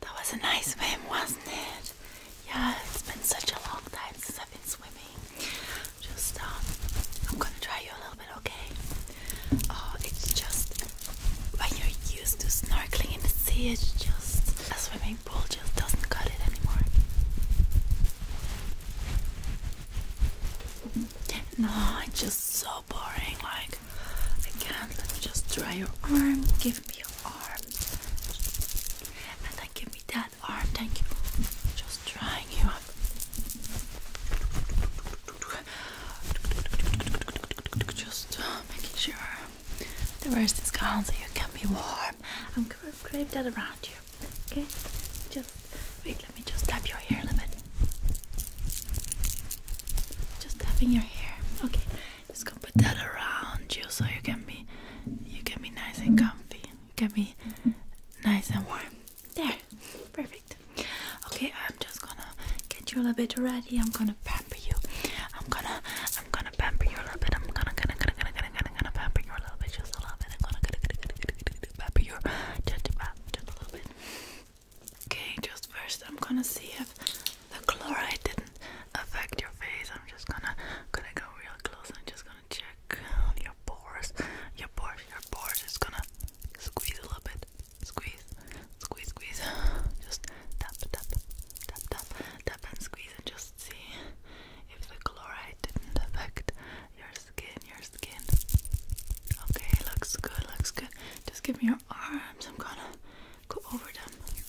That was a nice swim, wasn't it? Yeah, it's been such a long time since I've been swimming. Just, um, I'm gonna try you a little bit, okay? Oh, it's just when you're used to snorkeling in the sea, it's just a swimming pool just doesn't cut it anymore. No, it's just so boring. Like, it again. Let me just try your arm. Give me your arm. And then give me that arm. Thank you. Just drying you up. Just uh, making sure the worst is gone so you can be warm. I'm gonna wrap that around you. Okay? Just wait, let me just tap your hair a little bit. Just tapping your hair. Okay. Just gonna put that around you so you can be you can be nice and comfy. You can be nice and warm. There, perfect. Okay, I'm just gonna get you a little bit ready. I'm gonna pamper you. I'm gonna I'm gonna pamper you a little bit. I'm gonna gonna gonna gonna gonna gonna, gonna pamper you a little bit, just a little bit. I'm gonna gonna gonna gonna, gonna, gonna, gonna pamper you just, just a little bit. Okay, just first I'm gonna see if the chloride didn't affect your face. I'm just gonna gonna go real close I'm just gonna check your pores. Your pores, your pores. Just gonna squeeze a little bit. Squeeze, squeeze, squeeze. Just tap, tap, tap, tap, tap, and squeeze, and just see if the chloride didn't affect your skin. Your skin. Okay, looks good. Looks good. Just give me your arms. I'm gonna go over them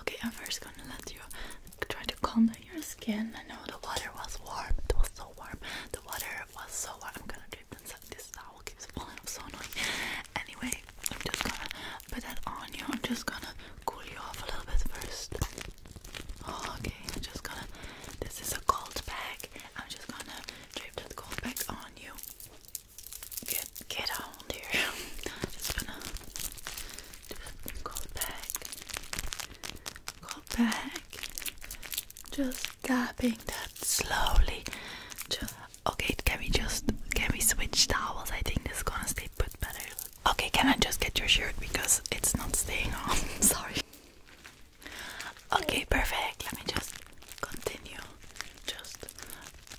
Okay, I'm first gonna let you try to calm down your skin. I know the water was warm. It was so warm. The water was so warm. I'm gonna drip inside. This towel keeps falling. I'm so annoying. Anyway, I'm just gonna put that on you. I'm just gonna cool you off a little bit first. Oh, okay, I'm just gonna. This is a cold bag. I'm just gonna drape that cold bag on you. Get get on there. Just gonna Go back. Go back. Just dabbing that slowly. Just, okay, can we just can we switch towels? I think this is gonna stay put better. Okay, can I just get your shirt because it's not staying on? Sorry. Okay, perfect. Let me just continue. Just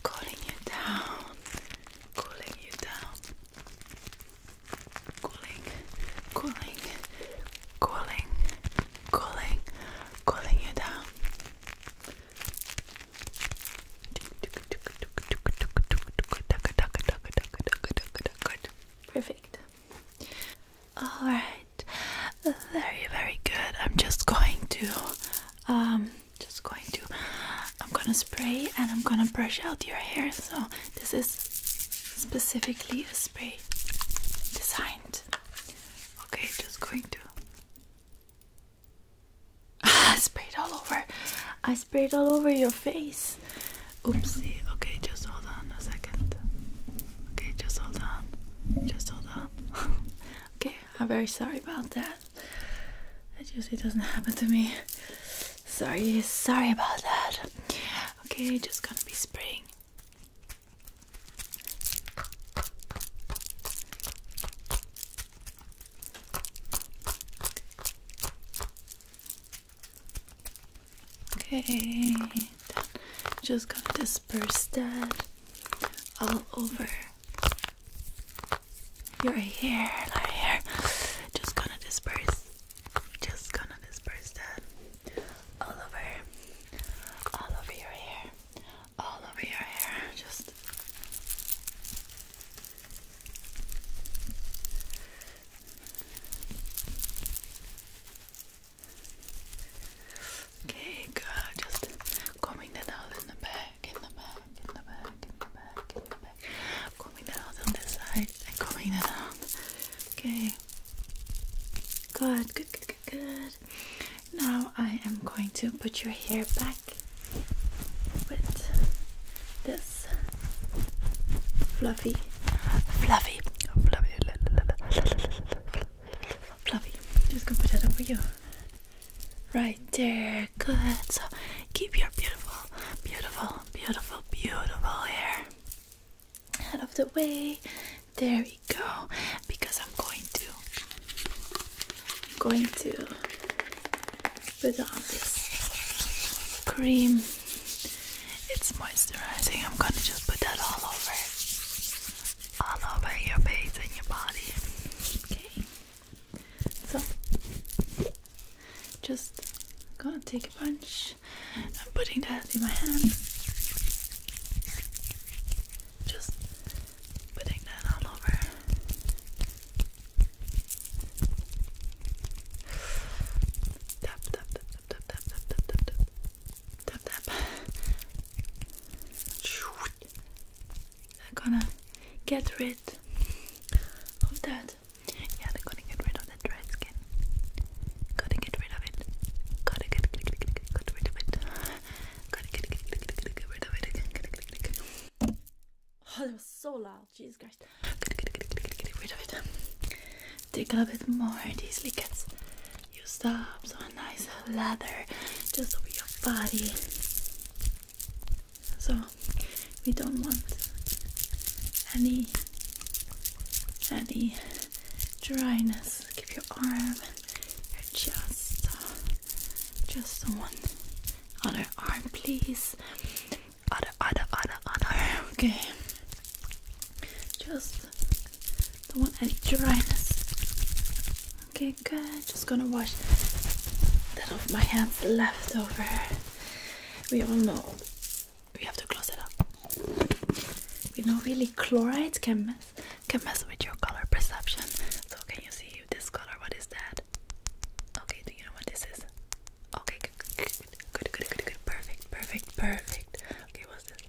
calling you down. Cooling you down. Cooling, cooling, cooling, cooling, cooling you down. Perfect. All right. Very, very good. I'm just going to um, just going to I'm gonna spray and I'm gonna brush out your hair so this is specifically a spray designed okay just going to I sprayed all over I sprayed all over your face oopsie okay just hold on a second okay just hold on just hold on okay I'm very sorry about that it usually doesn't happen to me Sorry, sorry about that. Okay, just gonna be spraying. Okay, just gonna disperse that all over your hair, my hair. Just gonna disperse. Just gonna disperse that all over, all over your hair, all over your hair. Just. Okay, good. Just combing that out in the back in the back, in the back, in the back, in the back. Combing it out on this side and combing it out. Okay. good, good, good, good. Now I am going to put your hair back with this fluffy, fluffy, fluffy, fluffy. Just gonna put that over you. Right there good. So keep your beautiful, beautiful, beautiful, beautiful hair out of the way. There we go. Because I'm going to I'm going to put on this cream. It's moisturizing. I'm gonna just put that all over all over your face and your body. Okay. So just gonna take a punch. I'm putting that in my hand. Just putting that all over. Tap tap tap tap tap tap tap tap tap tap tap they're gonna get rid of that. Yeah, they're gonna get rid of that dry skin. Gotta get rid of it. Gotta get, get, get, get, get rid of it. Gotta get, get, get, get, get, get rid of it. Gotta get, get, get, get. Oh, that was so loud. Jesus Christ. Gotta get, rid of it. Take a little bit more. of These liquids. you up. So a nice leather just over your body so we don't want any any dryness. Keep your arm and your chest. Just on one other arm, please. Other, other, other, other. Okay. Just don't want any dryness. Okay, good. Just gonna wash that off my hands left over we all know we have to close it up. We know, really, chlorides can mess, can mess with your color perception. So, can you see this color? What is that? Okay, do you know what this is? Okay, good, good, good, good, good, good. perfect, perfect, perfect. Okay, what's this?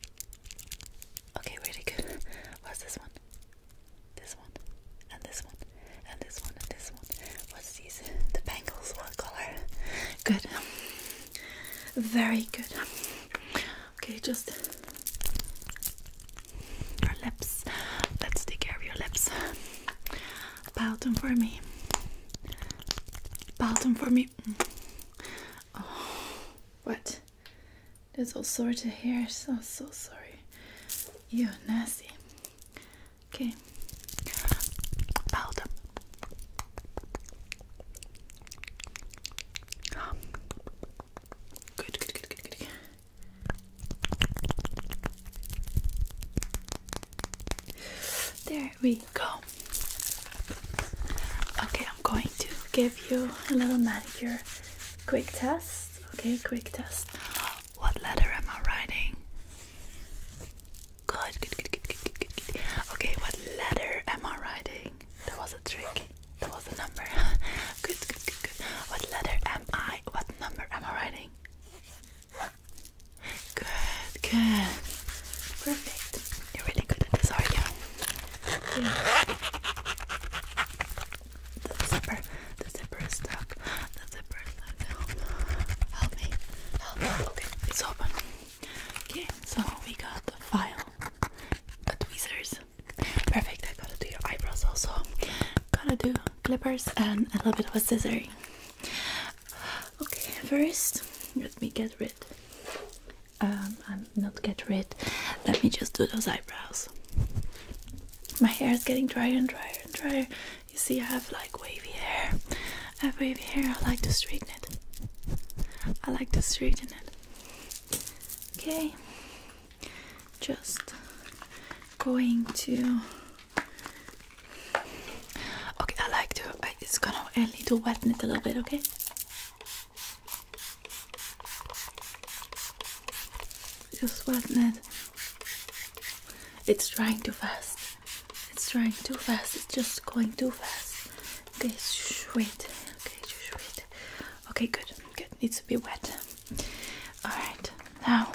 Okay, really good. What's this one? This one, and this one, and this one, and this one. What's these? The penguins. what color? Good. Very good. Okay, just your lips. Let's take care of your lips. Bow down for me. Bow down for me. Mm. Oh, what? There's all sorts of hair, so so sorry. You nasty. Okay. Powder. Good, good, good, good, good. There we go. Okay, I'm going to give you a little manicure quick test. Okay, quick test. What letter am I writing? Good, good, good, good, good, good, good. Okay, what letter am I writing? That was a trick. That was a number. good, good, good, good. What letter am I? What number am I writing? Good, good. Perfect. You're really good at this, are not you? The zipper, the zipper is stuck. The zipper is stuck. Help me. Help me. Okay, it's open. Okay, so we got the file, the tweezers. Perfect. I gotta do your eyebrows also. Gotta do clippers and a little bit of a scissoring. Okay, first let me get rid. Um, I'm um, not get rid. Let me just do those eyebrows. My hair is getting drier and drier and drier. You see, I have like wavy hair. I have wavy hair. I like to straighten it. I like to straighten it. Okay, just going to. Okay, I like to. I, just gonna. a little to wet it a little bit. Okay. Just wasn't it? It's drying too fast. It's drying too fast. It's just going too fast. Okay, wait. Okay, just wait. Okay, good. Good. Needs to be wet. Alright, now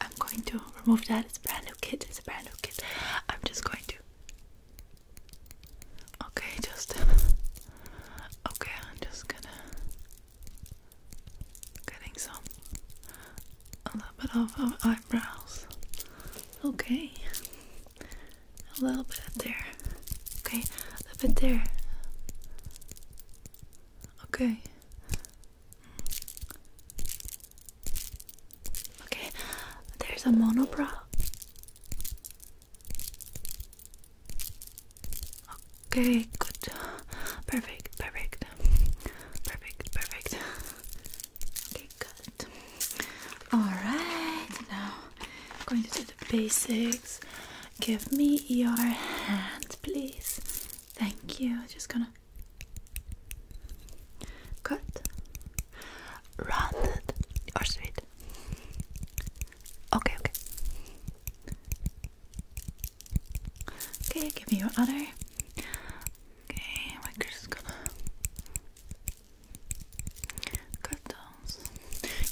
I'm going to remove that. It's a brand new kit. It's a brand new kit. I'm just going to. Okay, just. Okay, I'm just gonna. Getting some a little bit of, eyebrows. Okay. A little bit there. Okay, a little bit there. Okay. Okay, there's a monobrow. Okay, good. Perfect, perfect. Perfect, perfect. Okay, good. Alright, now I'm going to do the basics. Give me your hand, please. Thank you. Just gonna cut. Rounded or straight. Okay, okay. Okay, give me your other. Okay, we're just gonna cut those.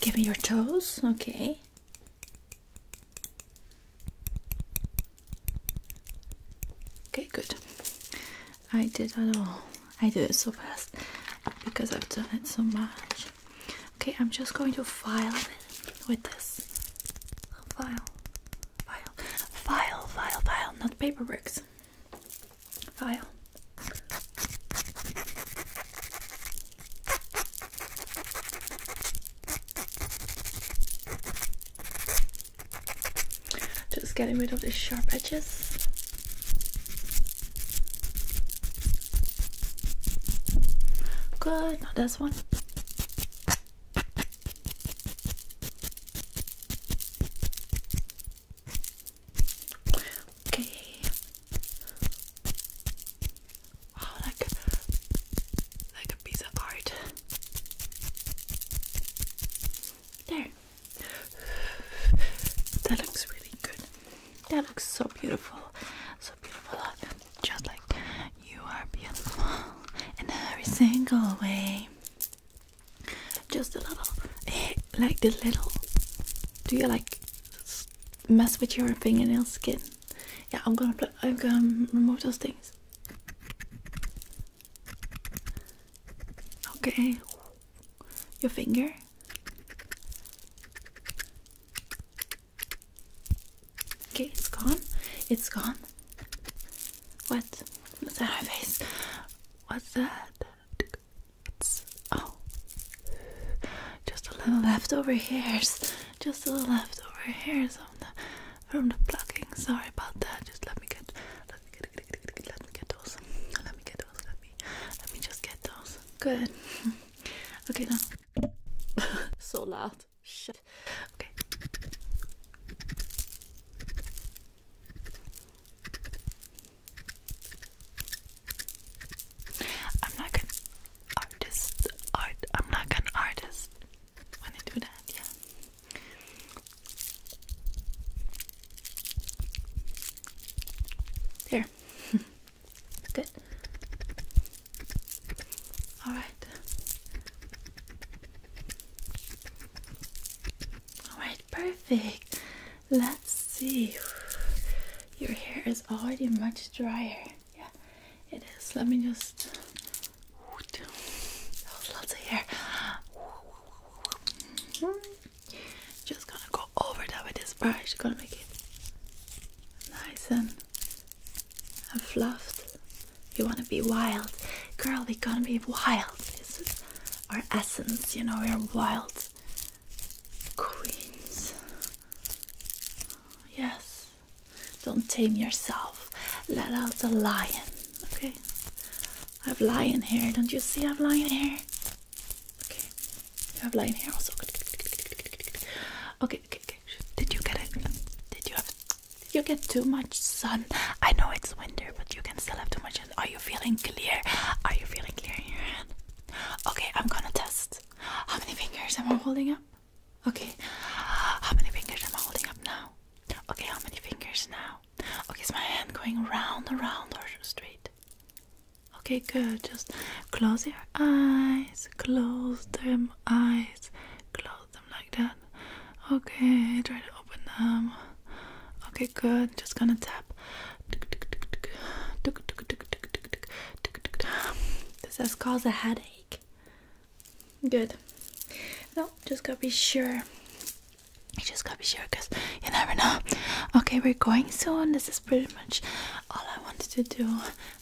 Give me your toes, okay. Okay, good. I did it all. I do it so fast because I've done it so much. Okay, I'm just going to file with this file, file, file, file, file, not paper bricks. File. Just getting rid of the sharp edges. Good, not this one. Okay. Wow, oh, like like a piece of art. There. That looks really good. That looks so beautiful. So beautiful just like you are beautiful in every single way. Just a little, eh, like the little. Do you like mess with your fingernail skin? Yeah, I'm gonna put. I'm gonna remove those things. Okay, your finger. Okay, it's gone. It's gone. What? What's that on my face? What's that? It's oh, just a little leftover hairs. Just a little leftover hairs on the from the plucking. Sorry about that. Just let me get, let me get, get, get, get let me get those. Let me get those. Let me, let me just get those. Good. okay now. so loud. Shut. Shit. Okay. I'm like an artist. Art. I'm like an artist when I do that. Yeah. There. good. All right. All right, perfect. Let's see. Your hair is already much drier. Yeah, it is. Let me just. Lots of hair. Just gonna go over that with this brush. Gonna make it nice and I'm fluffed. You want to be wild. Girl, we gonna be wild. This is our essence, you know, we're wild queens. Yes. Don't tame yourself. Let out the lion, okay? I have lion hair. Don't you see I have lion hair? Okay. I have lion hair also. Okay, okay, okay. Did you get it? Did you have? you get too much sun? I know it's winter, but you can still have too much. Sun. Are you feeling clear? Are you feeling clear in your hand? Okay, I'm gonna test. How many fingers am I holding up? Okay. How many fingers am I holding up now? Okay, how many fingers now? Okay, is my hand going round, around, or straight? Okay, good. Just close your eyes, close them eyes, close them like that. Okay, try to open them. Okay, good. Just gonna tap. This has caused a headache. Good. No, just gotta be sure. You just gotta be sure because you never know. Okay, we're going soon. This is pretty much all I wanted to do.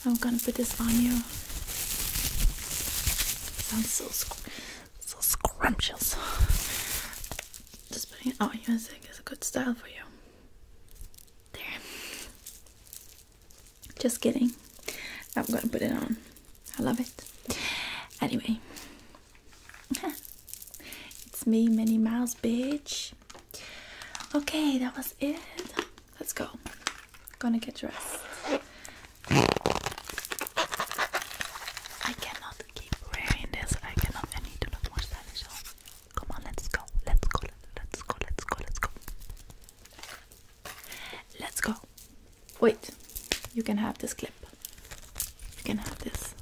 I'm gonna put this on you. Sounds so so scrumptious. Just putting it on you, I think, is a good style for you. There. Just kidding. I'm gonna put it on. I love it. Anyway, it's me, many miles, bitch. Okay, that was it. Let's go. Gonna get dressed. I cannot keep wearing this. I cannot. I need to look more stylish. Come on, let's go. Let's go. Let's go. Let's go. Let's go. Let's go. Wait. You can have this clip. You can have this.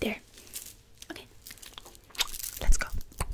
There. Okay. Let's go.